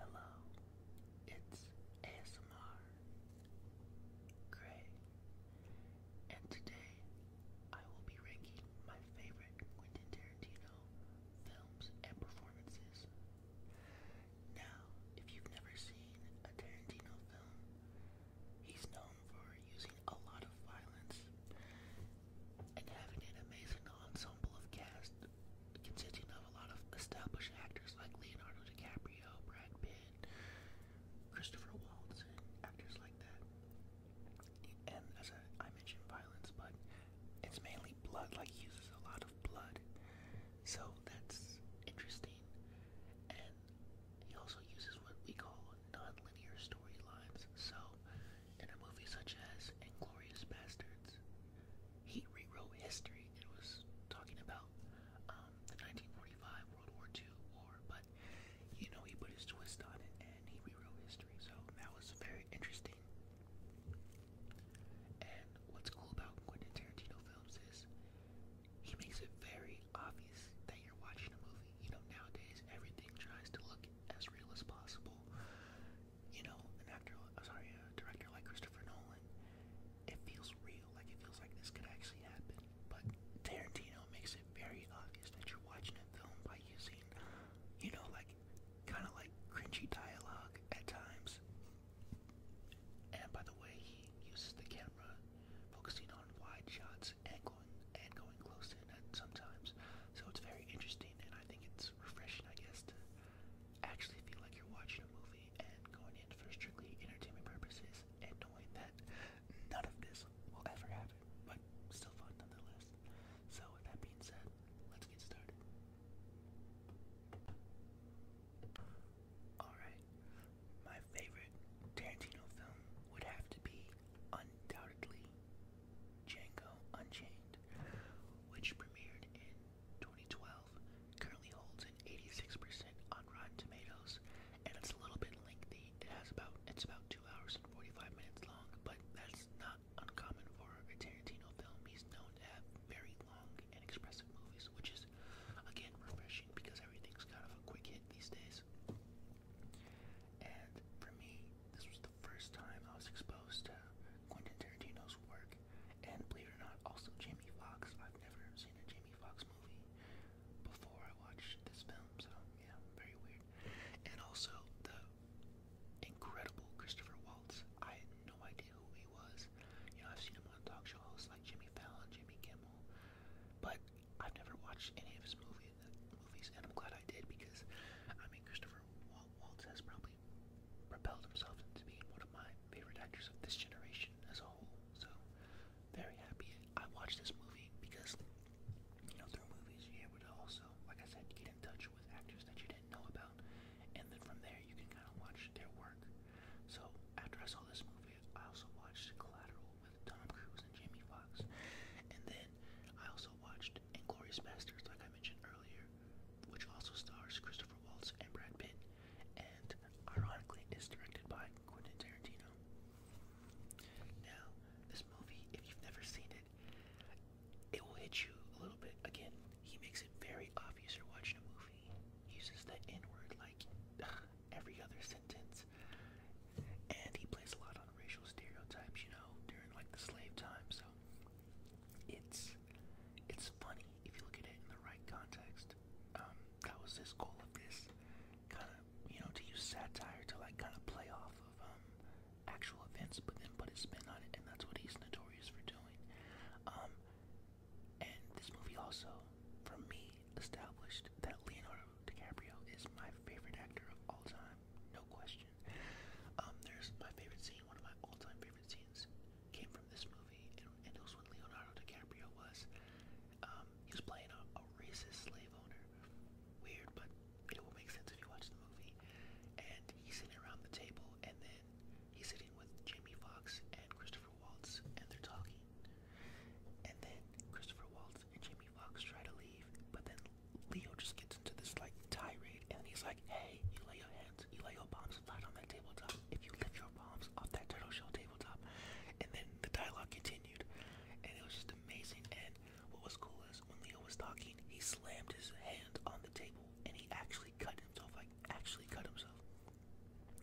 Hello, it's ASMR Gray, and today I will be ranking my favorite Quentin Tarantino films and performances. Now, if you've never seen a Tarantino film, he's known for using a lot of violence and having an amazing ensemble of cast consisting of a lot of established actors like Leonardo DiCaprio, Brad Pitt, Christopher Waltz, actors like that. And as I, mentioned, violence, but it's mainly blood. Like uses a lot of blood, so that's interesting. And he also uses what we call non-linear storylines. So in a movie such as Inglorious Bastards. He rewrote history. It was talking about um, the 1945 World War II war, but you know, he put his twist on it and he rewrote history. So that was very interesting. And what's cool about Quentin Tarantino films is he makes it very obvious that you're watching a movie. You know, nowadays everything tries to look as real as possible you know, an actor, uh, sorry, a director like Christopher Nolan, it feels real. Like it feels like this could actually happen. But Tarantino makes it very obvious that you're watching a film by using, you know, like kind of like cringy dialogue at times. And by the way, he uses the camera, focusing on wide shots and going and going close in at sometimes. So it's very interesting, and I think it's refreshing, I guess, to actually feel like you're watching a movie and going in for strictly entertainment purposes and knowing that none of this will ever happen, but still fun nonetheless. So, with that being said, let's get started. Alright, my favorite Tarantino film would have to be undoubtedly Django Unchained, which premiered in 2012, currently holds an 86% on Rotten Tomatoes, and it's a little bit lengthy. It has about it's about two hours and 45 minutes long, but that's not uncommon for a Tarantino film. He's known to have very long and expressive movies, which is again refreshing because everything's kind of a quick hit these days. And for me, this was the first time I was exposed to Quentin Tarantino's work, and believe it or not, also Jamie Fox. I've never seen a Jamie Fox movie before I watched this film, so yeah, very weird. And also the incredible Christopher Waltz. I had no idea who he was. You know, I've seen him on talk show hosts like Jimmy Fallon, Jimmy Kimmel, but I've never watched any of his movies in the movies, and I'm glad I did because, I mean, Christopher Wal Waltz has probably propelled himself into being one of my favorite actors of this generation as a whole. So, very happy I watched this movie because, you know, through movies you're able to also, like I said, get in touch with actors that you didn't know about, and then from there you can kind of watch their work. So, after I saw this movie, I also watched Collateral with Tom Cruise and Jamie Foxx, and then I also watched Inglorious Bastards, like I mentioned earlier, which also stars Christopher Waltz and Brad Pitt, and ironically is directed by Quentin Tarantino. Now, this movie, if you've never seen it, it will hit you a little bit. Again, he makes it very obvious you're watching a movie. He uses the N word like every other sentence, and he plays a lot on on racial stereotypes, you know, during like the slave time. So it's it's funny if you look at it in the right context. Um, that was his goal of this kind of you know to use satire to like kind of play off of um, actual events, but then put a spin on it, and that's what he's notorious for doing. Um, and this movie also, for me, established that Leonardo DiCaprio is my favorite actor of all time, no question question. Um, there's my favorite scene, one of my all-time favorite scenes, came from this movie, and, and it was when Leonardo DiCaprio was, um, he was playing a, a racist slave owner. Weird, but it will make sense if you watch the movie. And he's sitting around the table, and then he's sitting with Jamie Foxx and Christopher Waltz, and they're talking. And then Christopher Waltz and Jamie Fox try to leave, but then Leo just gets into this like tirade and he's like, hey, you lay your hands, you lay your bombs flat on that tabletop. If you lift your bombs off that turtle shell tabletop. And then the dialogue continued. And it was just amazing. And what was cool is when Leo was talking, he slammed his hand on the table and he actually cut himself, like actually cut himself.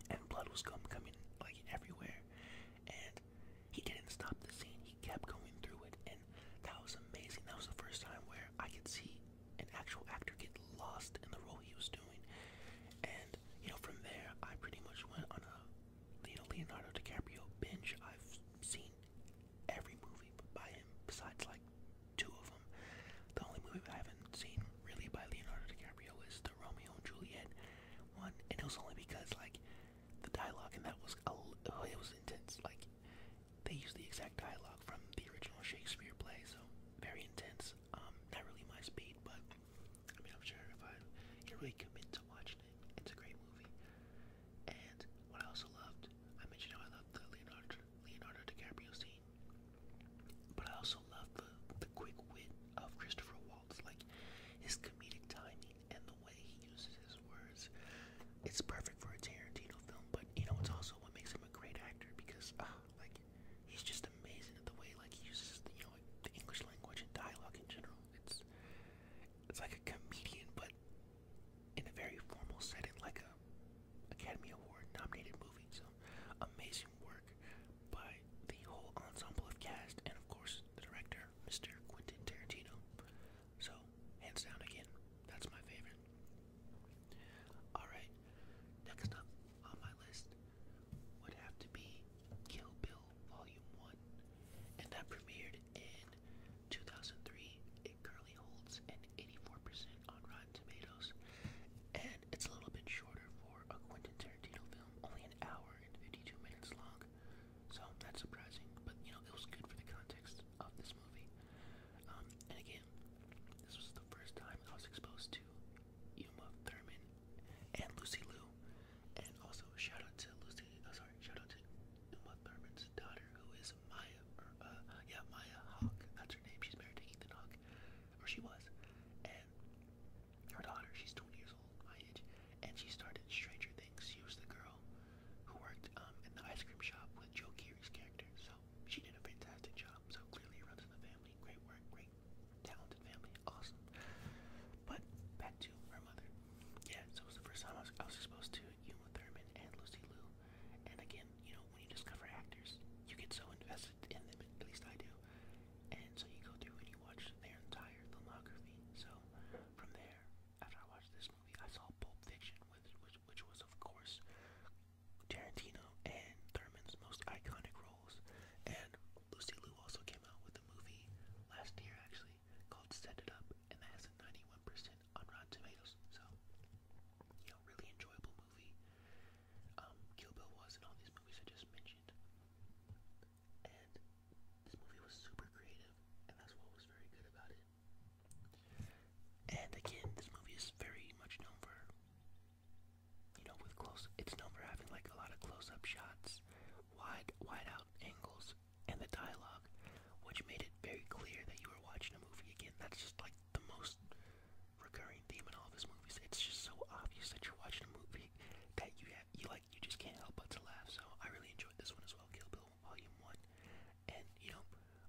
And blood was come coming like everywhere and he didn't stop the scene. He kept going through it, and that was amazing. That was the first time where I could see an actual actor get lost in the role he was doing. And you know, from there, I pretty much went on a you know Leonardo DiCaprio binge. I've seen every movie by him besides like two of them. The only movie I haven't seen really by Leonardo DiCaprio is the Romeo and Juliet one, and it was only because like the dialogue, and that was oh, it was intense. Like they used the exact dialogue from the original Shakespeare play, so very intense. Um, not really my speed, but I mean, I'm sure if I really commit to watching it, it's a great movie. And what I also loved, I mentioned how I loved the Leonardo Leonardo DiCaprio scene, but I also loved the the quick wit of Christopher Waltz, like his comedic timing and the way he uses his words, it's perfect for a Tarantino film. But you know, it's also what makes him a great actor because, ah, like, he's just amazing at the way like he uses the, you know the English language and dialogue in general. It's it's like a comedian, but in a very formal setting, like a Academy Award nominated movie. So amazing work by the whole ensemble of cast, and of course the director, Mr. Quentin Tarantino. So, hands down again, that's my favorite. Alright, next up on my list would have to be Kill Bill Volume 1. And that premiered in 2003. It currently holds an 84% on Rotten Tomatoes. And it's a little bit shorter for a Quentin Tarantino film, only an hour and 52 minutes long. So that's surprising, but you know it was good for the context of this movie. Um, and again, this was the first time I was exposed to Uma Thurman and Lucy Liu, and also shout out to Lucy. Uh, sorry, shout out to Uma Thurman's daughter, who is Maya, uh, yeah, Maya Hawk. That's her name. She's married to Ethan Hawk, or she was, her daughter, she's 20 years old, my age, and she started Stranger Things. She was the girl who worked um, in the ice cream shop with Joe Keery's character, so she did a fantastic job. So clearly it runs in the family. Great work, great, talented family, awesome. But back to her mother. Yeah, so it was the first time I was, I was exposed to Uma Thurman and Lucy Liu. And again, you know, when you discover actors, you get so invested in them, at least I do. And so you go through and you watch their entire filmography. So so from there, after I watched this movie, I saw Pulp Fiction, which which, which was of course Tarantino and Thurman's most iconic roles. And Lucy Liu also came out with a movie last year, actually, called Set It Up, and that has a 91% on Rotten Tomatoes. So, you know, really enjoyable movie. Um, Kill Bill was in all these movies I just mentioned. And this movie was super creative, and that's what was very good about it. And again, this movie is very much known for, you know, with close. It's known for having like a lot of close-up shots, wide, wide-out angles, and the dialogue, which made it very clear that you were watching a movie. Again, that's just like the most recurring theme in all of his movies. It's just so obvious that you're watching a movie that you have, you like you just can't help but to laugh. So I really enjoyed this one as well, Kill Bill Volume One. And you know,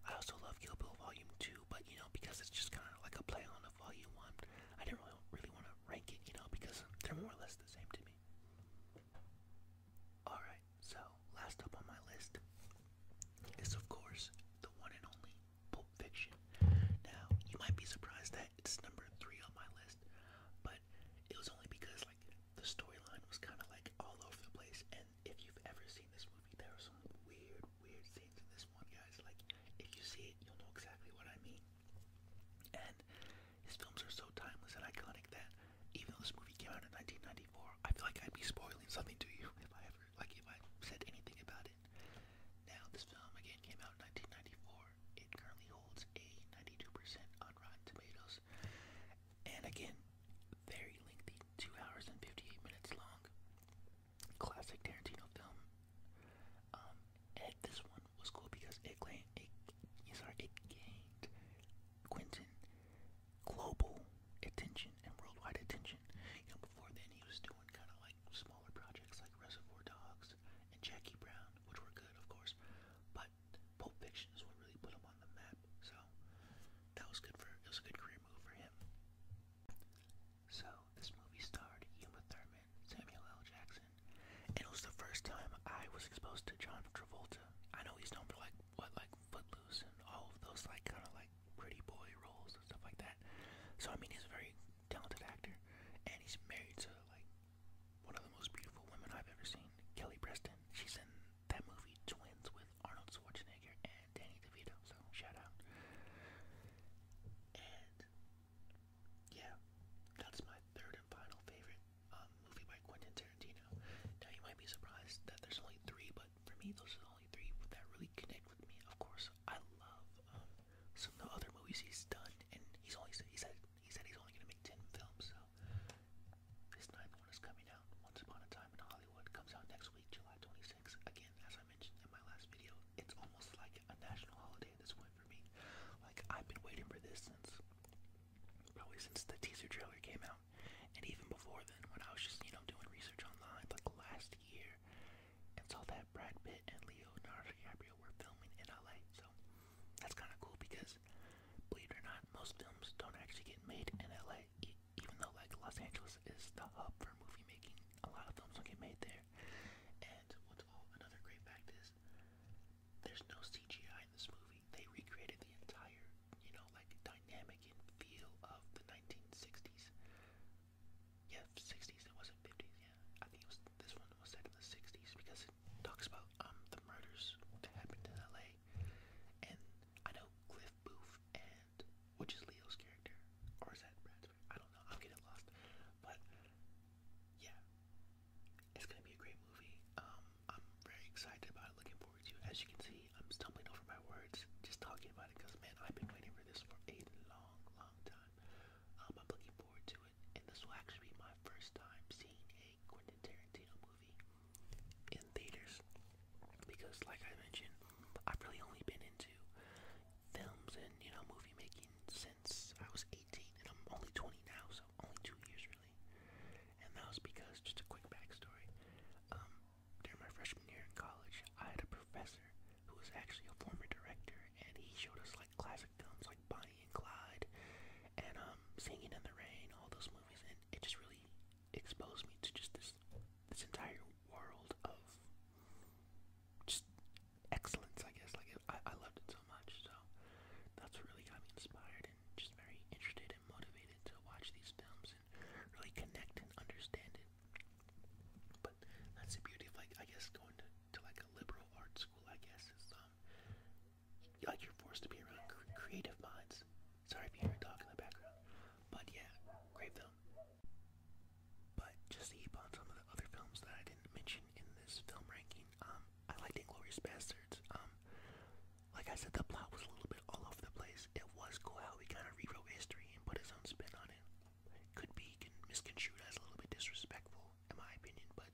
I also love Kill Bill Volume Two, but you know, because it's just kind of like a play on of Volume One, I didn't really really want to rank it, you know, because they're more or less the same to me. All right, so last up on my list is of course the one and only Pulp Fiction. Now you might be surprised that it's number three on my list, but it was only because like the storyline was kind of like all over the place. And if you've ever seen this movie, there are some weird, weird scenes in this one, guys. Like if you see it, you'll know exactly what I mean. And his films are so timeless and iconic that even though this movie came out in 1994, I feel like I'd be spoiling something to you if I ever like if I said anything about it. Now this film again came out in 1994. It currently holds a 92% on Rotten Tomatoes. And again, very lengthy, 2 hours and 58 minutes long. Classic Tarantino film. Um, this one was cool because it claimed, it, sorry, it gained Quentin global attention and worldwide attention. You know, before then he was doing kind of like smaller projects like Reservoir Dogs and Jackie Brown, which were good, of course, but Pulp Fiction is what really put him on the map. So that was good for it was a good career move for him. So this movie starred Uma Thurman, Samuel L. Jackson, and it was the first time I was exposed to John Travolta. I know he's known for like what like Footloose and all of those like kind of like pretty boy roles and stuff like that. So I mean he's a very talented actor, and he's married to like one of the most beautiful women I've ever seen, Kelly Preston. She's in that movie Twins with Arnold Schwarzenegger and Danny DeVito, so shout out. And yeah, that's my third and final favorite um, movie by Quentin Tarantino. Now you might be surprised that there's only three, but for me those are the only three that really connect with me. Of course, I love um, some of the other movies he's done, and he's only he said he said he's only gonna make ten films. So this ninth one is coming out. Once Upon a Time in Hollywood comes out next week, July 26th. Again, as I mentioned in my last video, it's almost like a national holiday at this point for me. Like I've been waiting for this since probably since the teaser trailer came out, and even before then, when I was just you know doing research online, like last year and saw that Brad Pitt and Leonardo DiCaprio were filming in LA. So that's kind of cool because, believe it or not, most films don't actually get made in LA. E even though like Los Angeles is the hub for movie making, a lot of films don't get made there. And what's all another great fact is, there's no CGI in this movie. They recreated the entire, you know, like dynamic and feel of the 1960s yeah, 60s. It wasn't 50s. Yeah, I think it was. This one was set in the 60s because it talks about um the murders that happened in LA. And I know Cliff Booth and which is Leo's character, or is that Brad's? I don't know. I'm getting lost. But yeah, it's gonna be a great movie. Um, I'm very excited about it. Looking forward to it. As you can see, I'm stumbling over my words just talking about it because man, I've been waiting for this for a long, long time. Um, I'm looking forward to it it, and this will actually be my first time seeing a Quentin Tarantino movie in theaters. Because, like I mentioned, I've really only been into films and you know movie making since I was 18, and I'm only 20 now, so only two years really. And that was because, just a quick backstory, um, during my freshman year in college, I had a professor who was actually a former director, and he showed us like classic films like Bonnie and Clyde, and um, Singing in the Rain, all those movies, and it just really exposed me to just this this entire world of just excellence, I guess. Like I, I loved it so much, so that's what really got me inspired and just very interested and motivated to watch these films and really connect and understand it. But that's the beauty of like I guess going to to like a liberal art school, I guess, um, like you're forced to be around creative minds. Sorry if you hear a dog in the background, but yeah, great film. But just to keep on some of the other films that I didn't mention in this film ranking, um, I liked *Inglorious Bastards*. Um, like I said, the plot was a little bit all over the place. It was cool how he kind of rewrote history and put his own spin on it could be misconstrued as a little bit disrespectful, in my opinion. But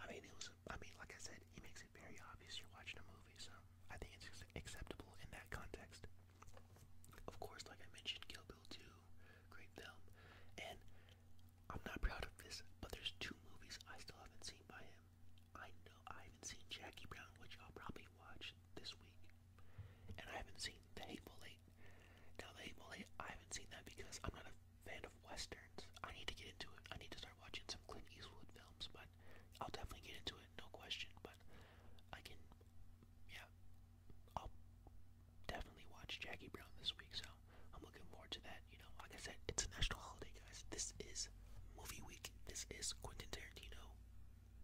I mean, it was. I mean, like I said, he makes it very obvious you're watching a movie, so I think it's acceptable in that context. Of course, like I mentioned, Kill Bill 2, great film, and I'm not proud of this, but there's two movies I still haven't seen by him. I know I haven't seen Jackie Brown, which I'll probably watch this week, and I haven't seen the Hateful Eight. Now, The Hateful Eight, I haven't seen that because I'm not a fan of westerns. I need to get into it. I need to start watching some Clint Eastwood films, but I'll definitely get into it, no question. But I can, yeah, I'll definitely watch Jackie Brown this week, so I'm looking forward to that. You know, like I said, it's a national holiday, guys. This is movie week. This is Quentin Tarantino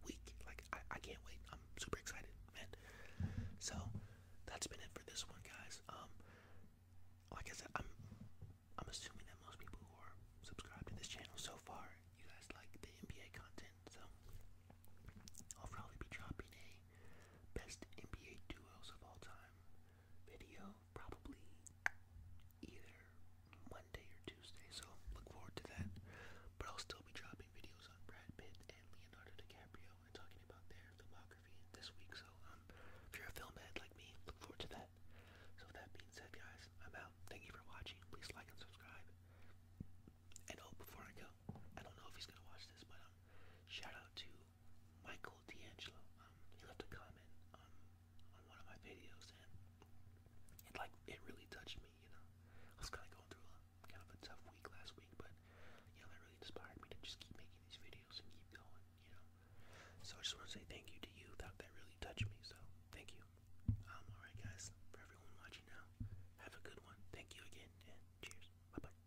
week. Like I, can't wait. I'm super excited, man. So that's been it for this one, guys. Um, like I said, I'm I'm assuming that most people who are subscribed to this channel so far, you guys like the NBA content. So I'll probably be dropping a best NBA duos of all time video, probably either Monday or Tuesday. So look forward to that. But I'll still be dropping videos on Brad Pitt Leonardo DiCaprio and talking about their filmography this week. So um, if you're a film head like me, look forward to that. So that being said, guys, I'm out. Thank you for watching. Please like and subscribe. And oh, before I go, I don't know if he's gonna watch this, but um, shout out to Michael D'Angelo. Um, he left a comment on one of my videos, and like it really touched me. You know, I was kind of going through kind of a tough week last week, but you know that really inspired me to just keep making these videos and keep going. You know, so I just want to say thank you to you. That that really touched me. So thank you. Um, all right, guys, for everyone watching now, have a good one. Thank you again, and cheers. Bye bye.